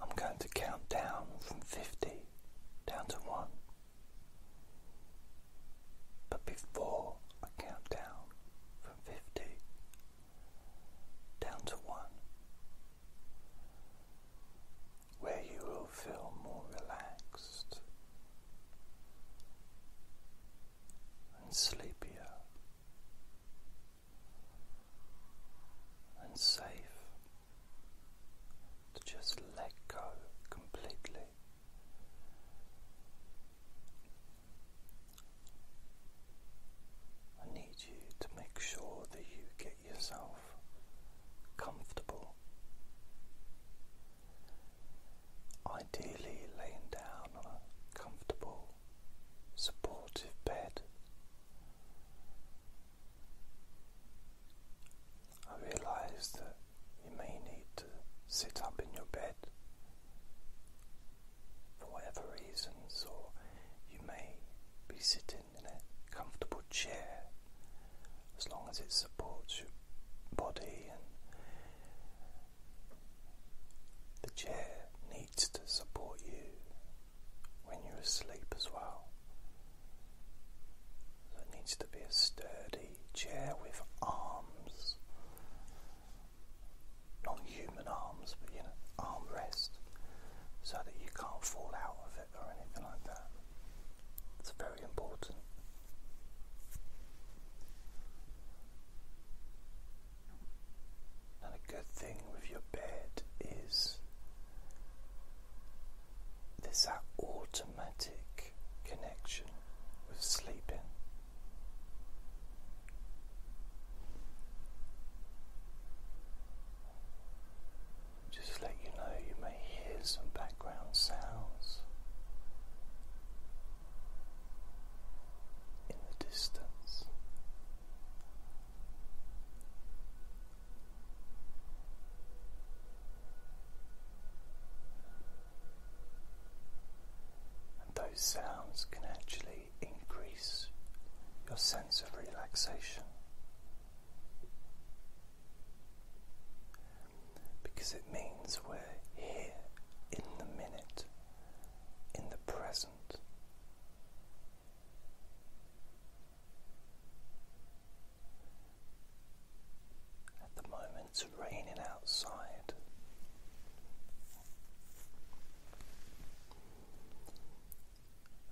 I'm going to count down from 50 down to 1. But before I count down from 50 down to 1, where you will feel more relaxed and sleepier and safe to just let go completely. I need you to make sure that you get yourself comfortable. Ideally, laying down on a comfortable, supportive bed I realize that you may need to sit up in your bed for whatever reasons, or you may be sitting in a comfortable chair as long as it supports your body and the chair needs to support you when you're asleep as well. So it needs to be a sturdy chair with arms. Not human arms, but you know, armrest, so that you can't fall out of it or anything like that. It's very important. And a good thing with your bed is there's that automatic connection with sleeping. Just let you know you may hear some background sounds in the distance. And those sounds can actually increase your sense of relaxation because it means we're here in the minute, in the present. At the moment, it's raining outside.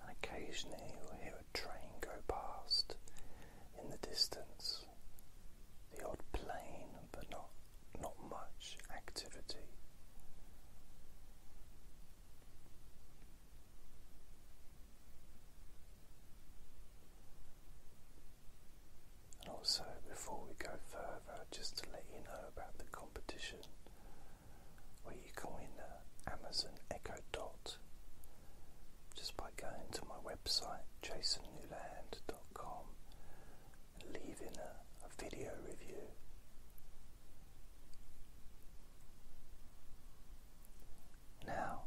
And occasionally you'll hear a train go past in the distance. The odd plane, but not not much activity. And also, before we go further, just to let you know about the competition where you can win an Amazon Echo Dot just by going to my website jasonnewland.com and leaving a, a video review. Now,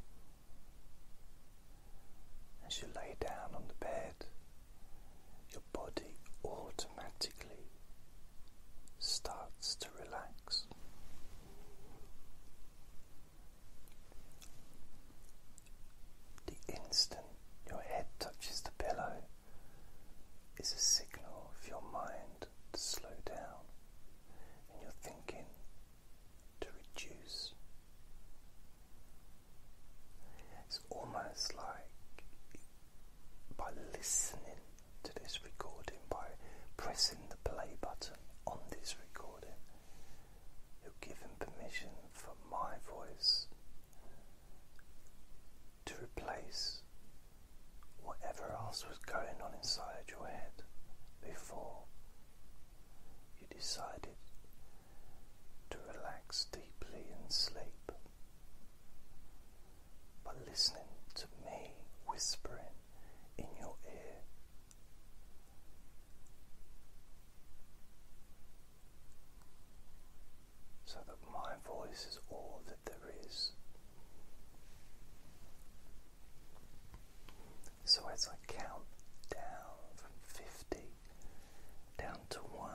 as you lay down on the bed, your body automatically starts to relax. The instant your head touches the pillow is a signal for your mind to slow down and your thinking to reduce. It's almost like by listening to this recording, by pressing the play button on this recording, you're giving permission for my voice to replace whatever else was going on inside your head before you decided to relax deeply and sleep. By listening to me whispering in your ear, so that my voice is all so, as I count down from 50 down to 1,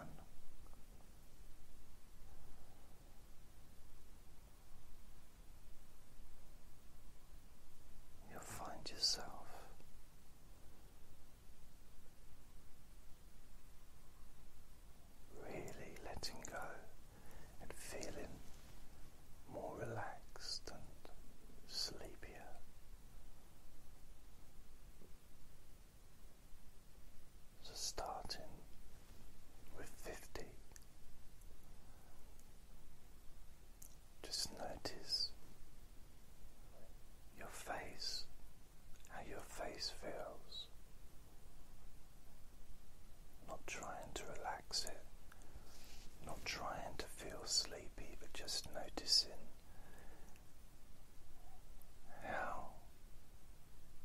you'll find yourself. Really letting go and feeling more relaxed and sleepier. So, starting with 50, just notice your face, how your face feels. Not trying to relax it, not trying to feel sleepy, but just noticing how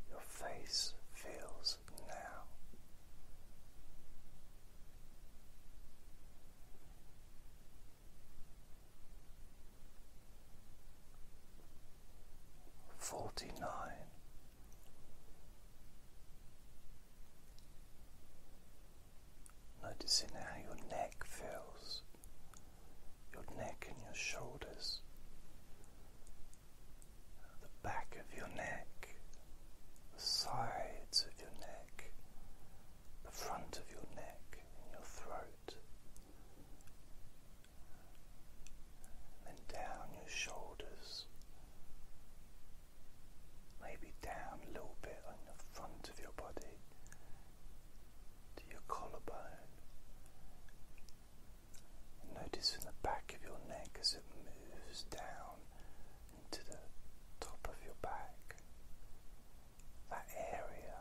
your face feels now. Forty nine. Noticing how your neck feels, your neck and your shoulders, the back of your neck, the sides of your neck, the front of your neck, and your throat. And down your shoulders, maybe down a little bit on the front of your body to your collarbone. notice in the back of your neck as it moves down into the top of your back, that area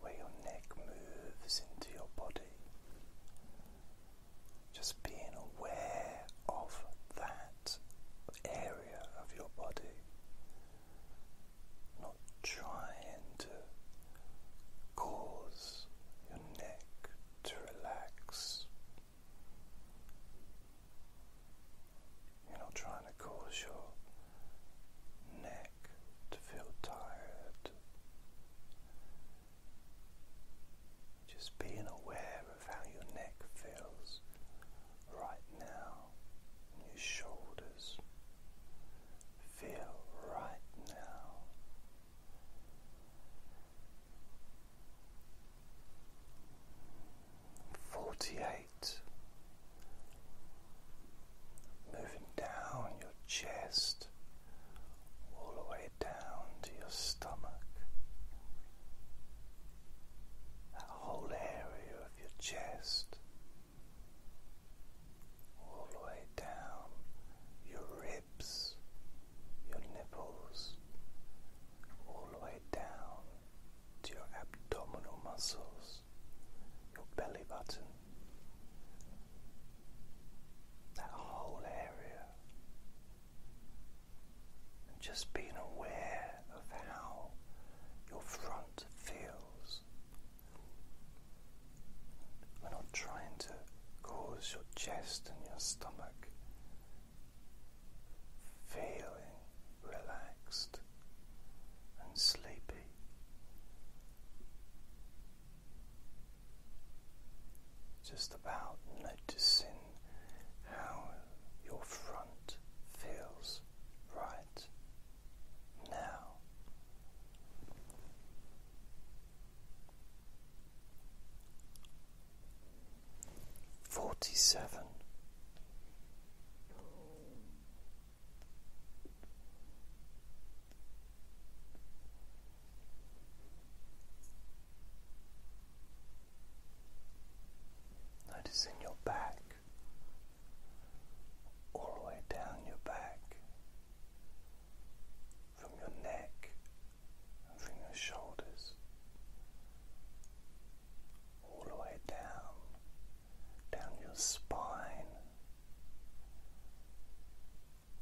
where your neck moves into your body. Just being aware of that area of your body, not trying to cause your neck to relax. You're not trying to cause your neck to feel tired. Just being aware of how your neck feels right now, your shoulders feel right now. Forty eight, moving down your chest all the way down to your stomach. That whole area of your chest, all the way down your ribs, your nipples, all the way down to your abdominal muscles, your belly button, that whole area and just being aware of how your front feels. We're not trying to cause your chest and your stomach feeling relaxed and sleepy. Just about noticing how your front feels right now. Forty seven. Noticing your back, all the way down your back, from your neck and from your shoulders, all the way down, down your spine,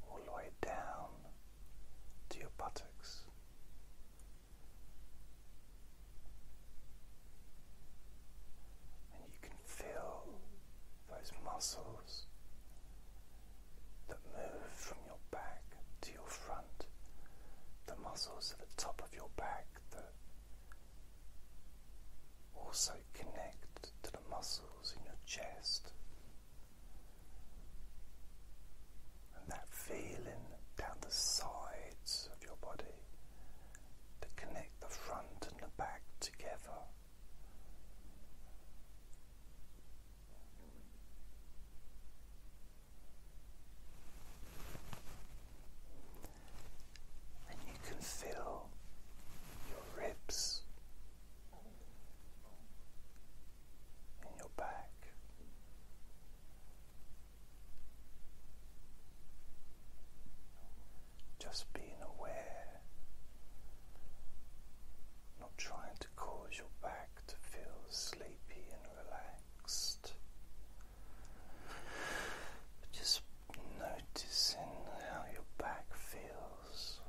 all the way down to your buttocks. And you can feel those muscles that move from your back to your front, the muscles at the top of your back that also connect to the muscles in your chest, and that feeling down the sides of your body to connect the front and the back together. And you can feel your ribs and your back. Just being aware, not trying to cause your back to feel sleepy and relaxed, but just noticing how your back feels muscles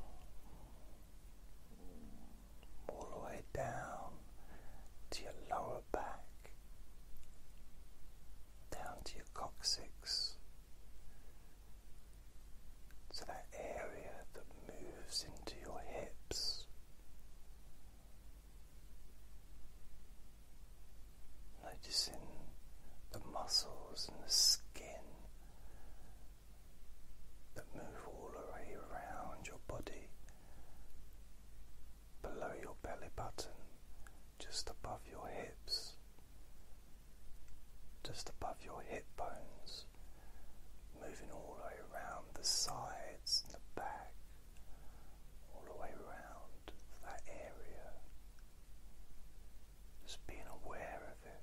all the way down to your lower back, down to your coccyx, to that area that moves into your hips. Noticing the muscles and the skin that move all the way around your body, below your belly button, just above your hips, just above your hip bones, moving all the way around the sides and the back, all the way around that area just being aware of it.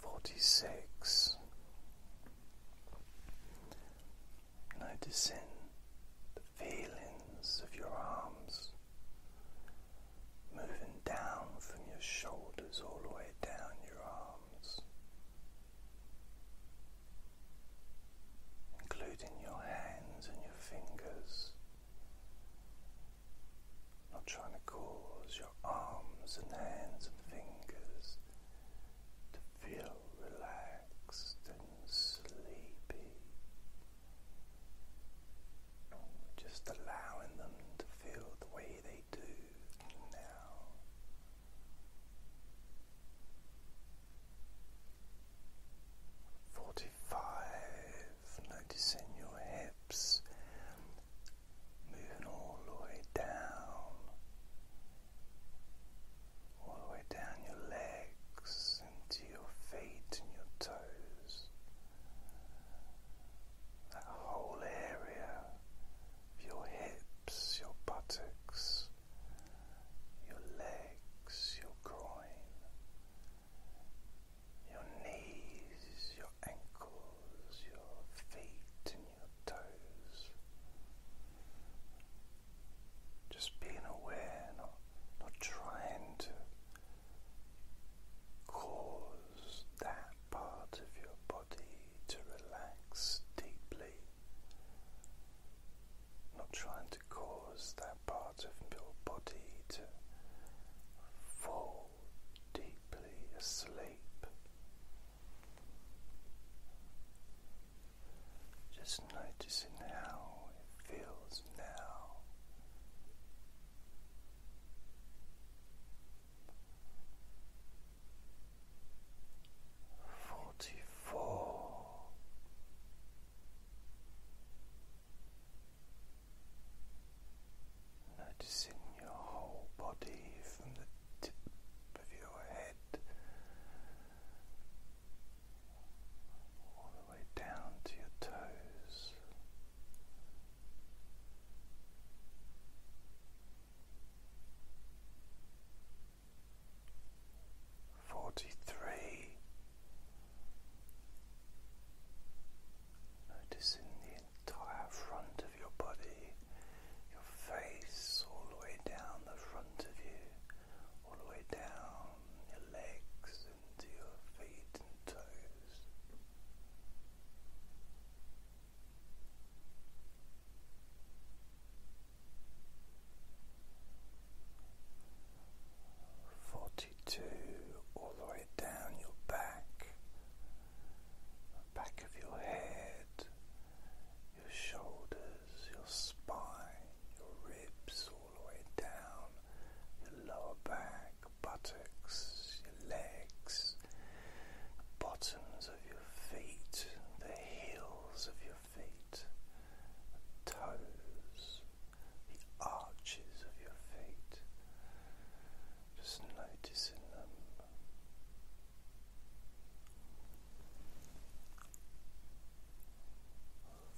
Forty six, noticing the feelings of your arms moving down from your shoulders all the way down your arms including your hands and your fingers. Not trying to cause your arms and hands and fingers to feel relaxed and sleepy. Just allowing them to feel the way they do now. Forty forty-five, noticing your hips moving all the way down, all the way down your legs into your feet and your toes. That whole area of your hips, your buttocks, your legs, your groin, your knees, your ankles, your feet, and your toes. Just being aware, not, not trying to cause that part of your body to relax deeply not trying to cause that part of your body to fall deeply asleep. Just noticing how it feels now. Forty four, Noticing your whole body from the tip of your head all the way down to your toes forty three. Noticing the entire front of your body, your face all the way down the front of you, all the way down your legs into your feet and toes. 42 all the way down your back, the back of your head, your shoulders, your spine, your ribs, all the way down, your lower back, buttocks, your legs, bottoms of your feet, the heels of your feet, the toes, the arches of your feet, just noticing them.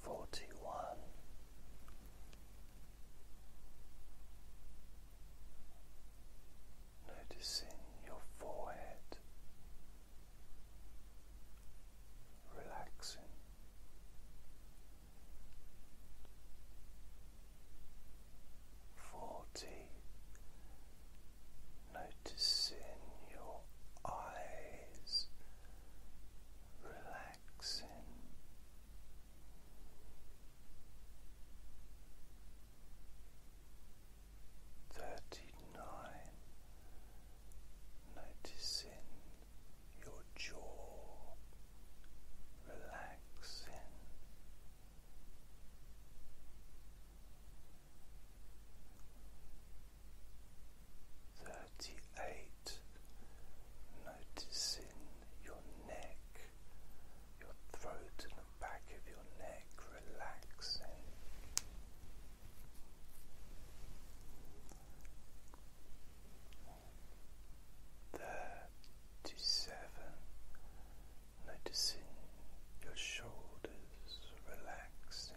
Forty one, noticing your forehead, relaxing. Forty, noticing your eyes relaxing. Thirty nine noticing your jaw relaxing. Thirty eight, noticing your neck, your throat, and the back of your neck relaxing. Thirty seven, noticing your shoulders relaxing.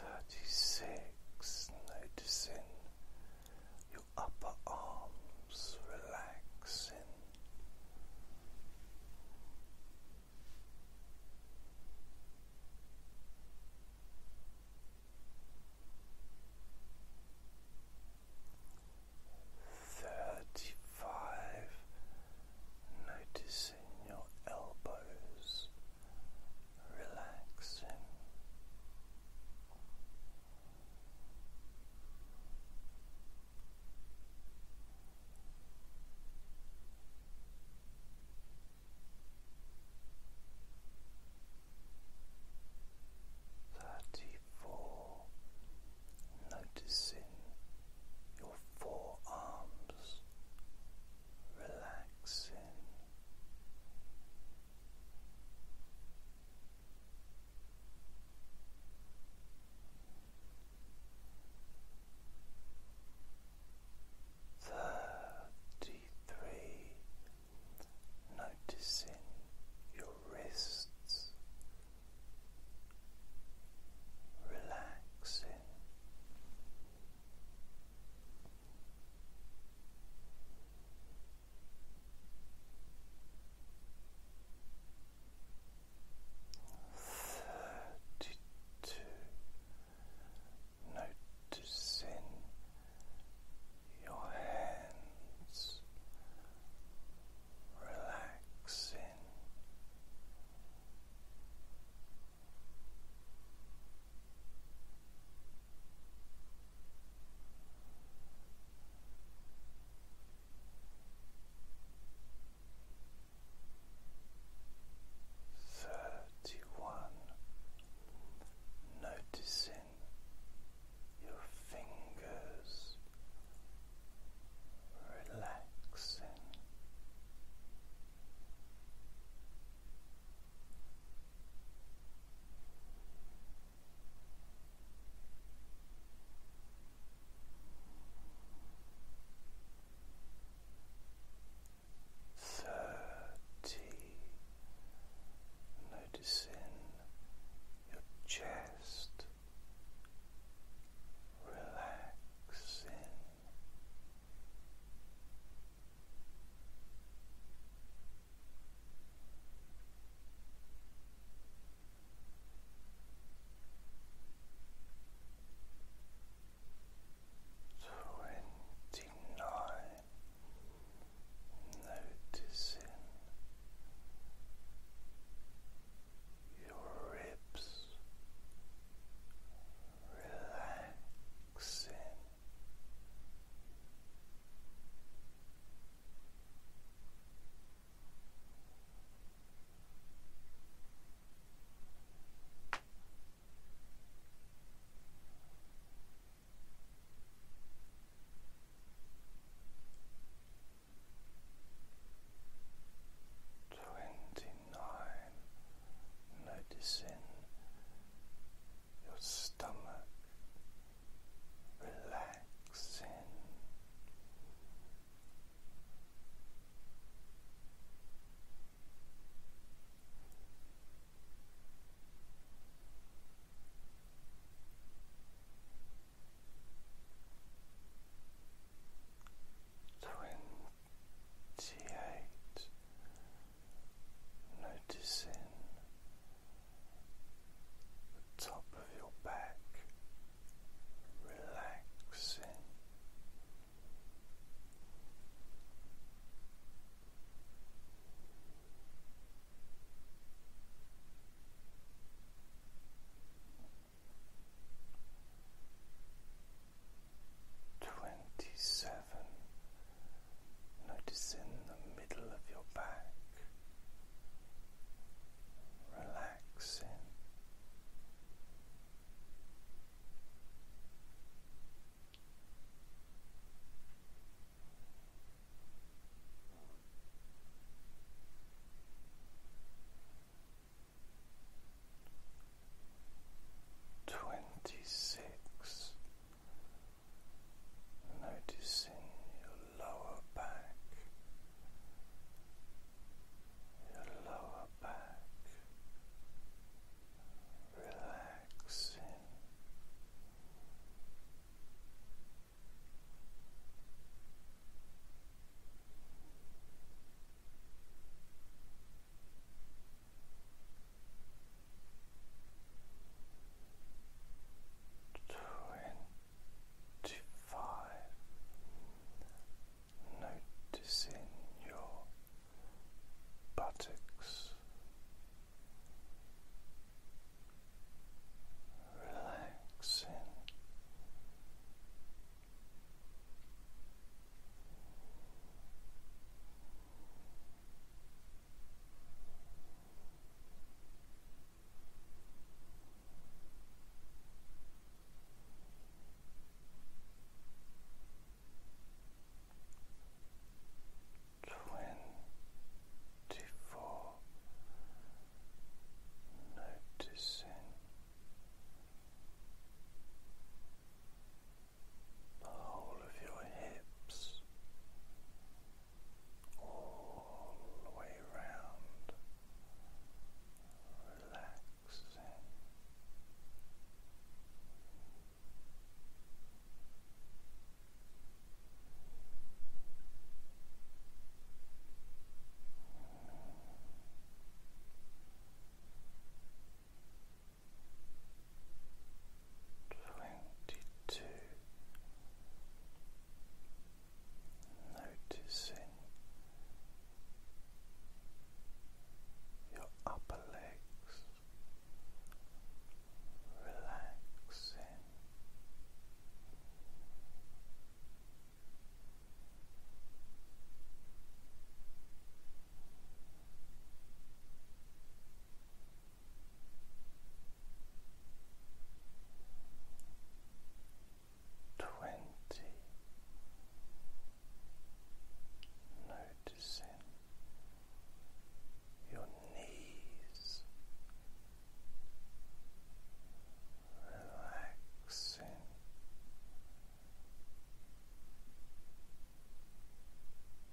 Thirty six, noticing your upper arms relaxing. Thirty five, noticing your elbows relaxing. Thirty four, noticing your forearms relaxing. Thirty three, noticing your wrists relaxing. Thirty-two noticing your hands relaxing. Thirty one, noticing your fingers relaxing. Thirty, noticing your chest relaxing. Twenty-nine, noticing your ribs relax relaxing. Twenty nine, noticing your stomach relaxes. Twenty eight Noticing the top of your back relaxing. Twenty seven Notice in the middle of your back, relaxing. Twenty six noticing your lower back, your lower back relaxing. Twenty-five, noticing your buttocks relaxing. Twenty four noticing the whole of your hips, all the way round, relaxing. Twenty-two noticing your upper legs relaxing. Twenty noticing your knees relaxing.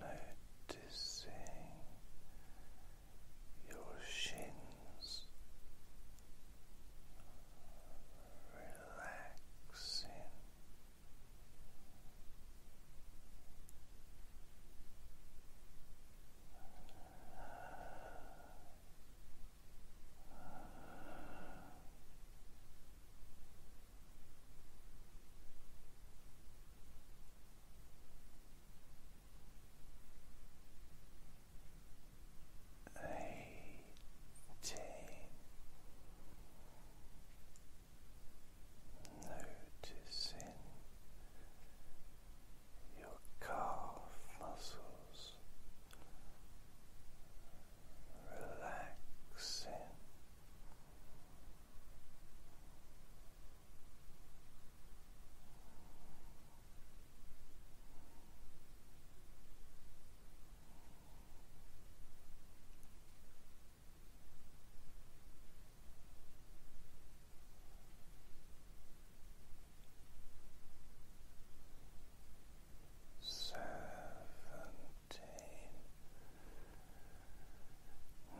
noticing your shins relaxing. Eighteen. Noticing your calf muscles relaxing. Seven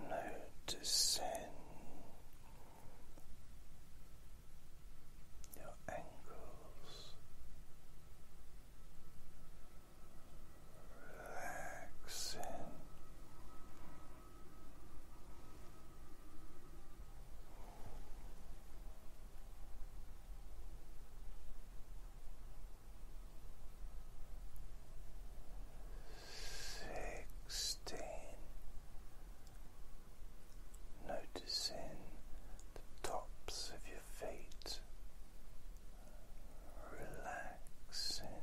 Noticing your ankles relaxing. Sixteen, noticing the tops of your feet relaxing.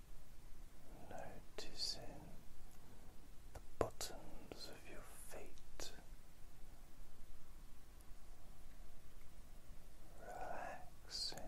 Noticing the bottoms of your feet relaxing.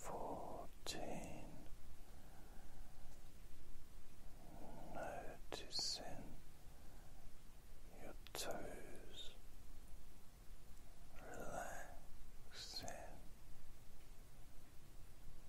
Fourteen, noticing your toes relaxing.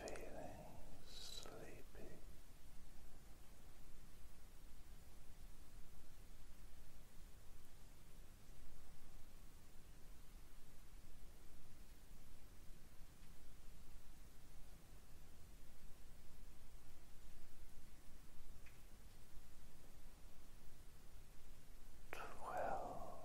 feeling sleepy. Twelve.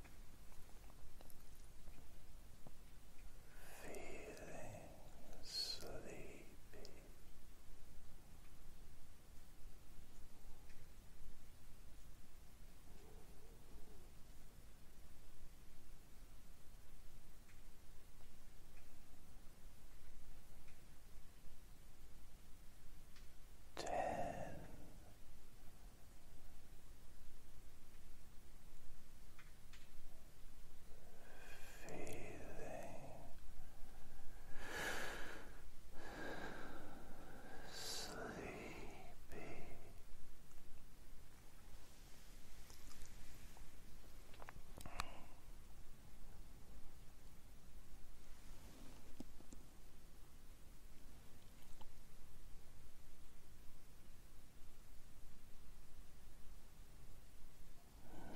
Feeling sleepy. Ten sleepy. Relaxed.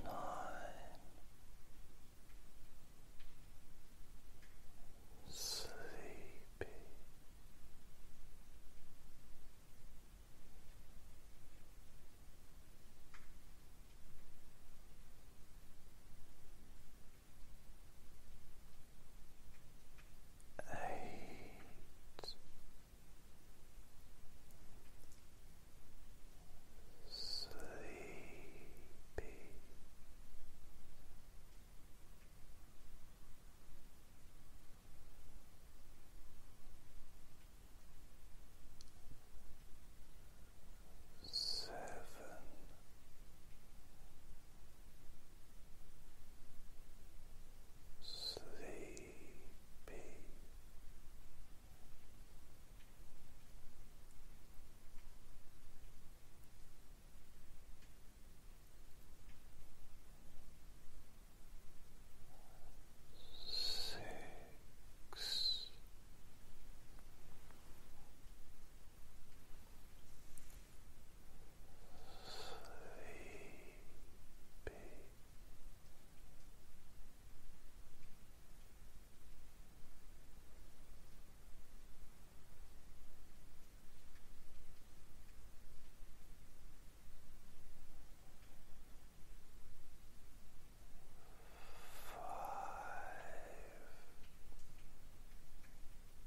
Nine, sleepy eight, sleepy. Seven, Sleep. Six sleepy. Five.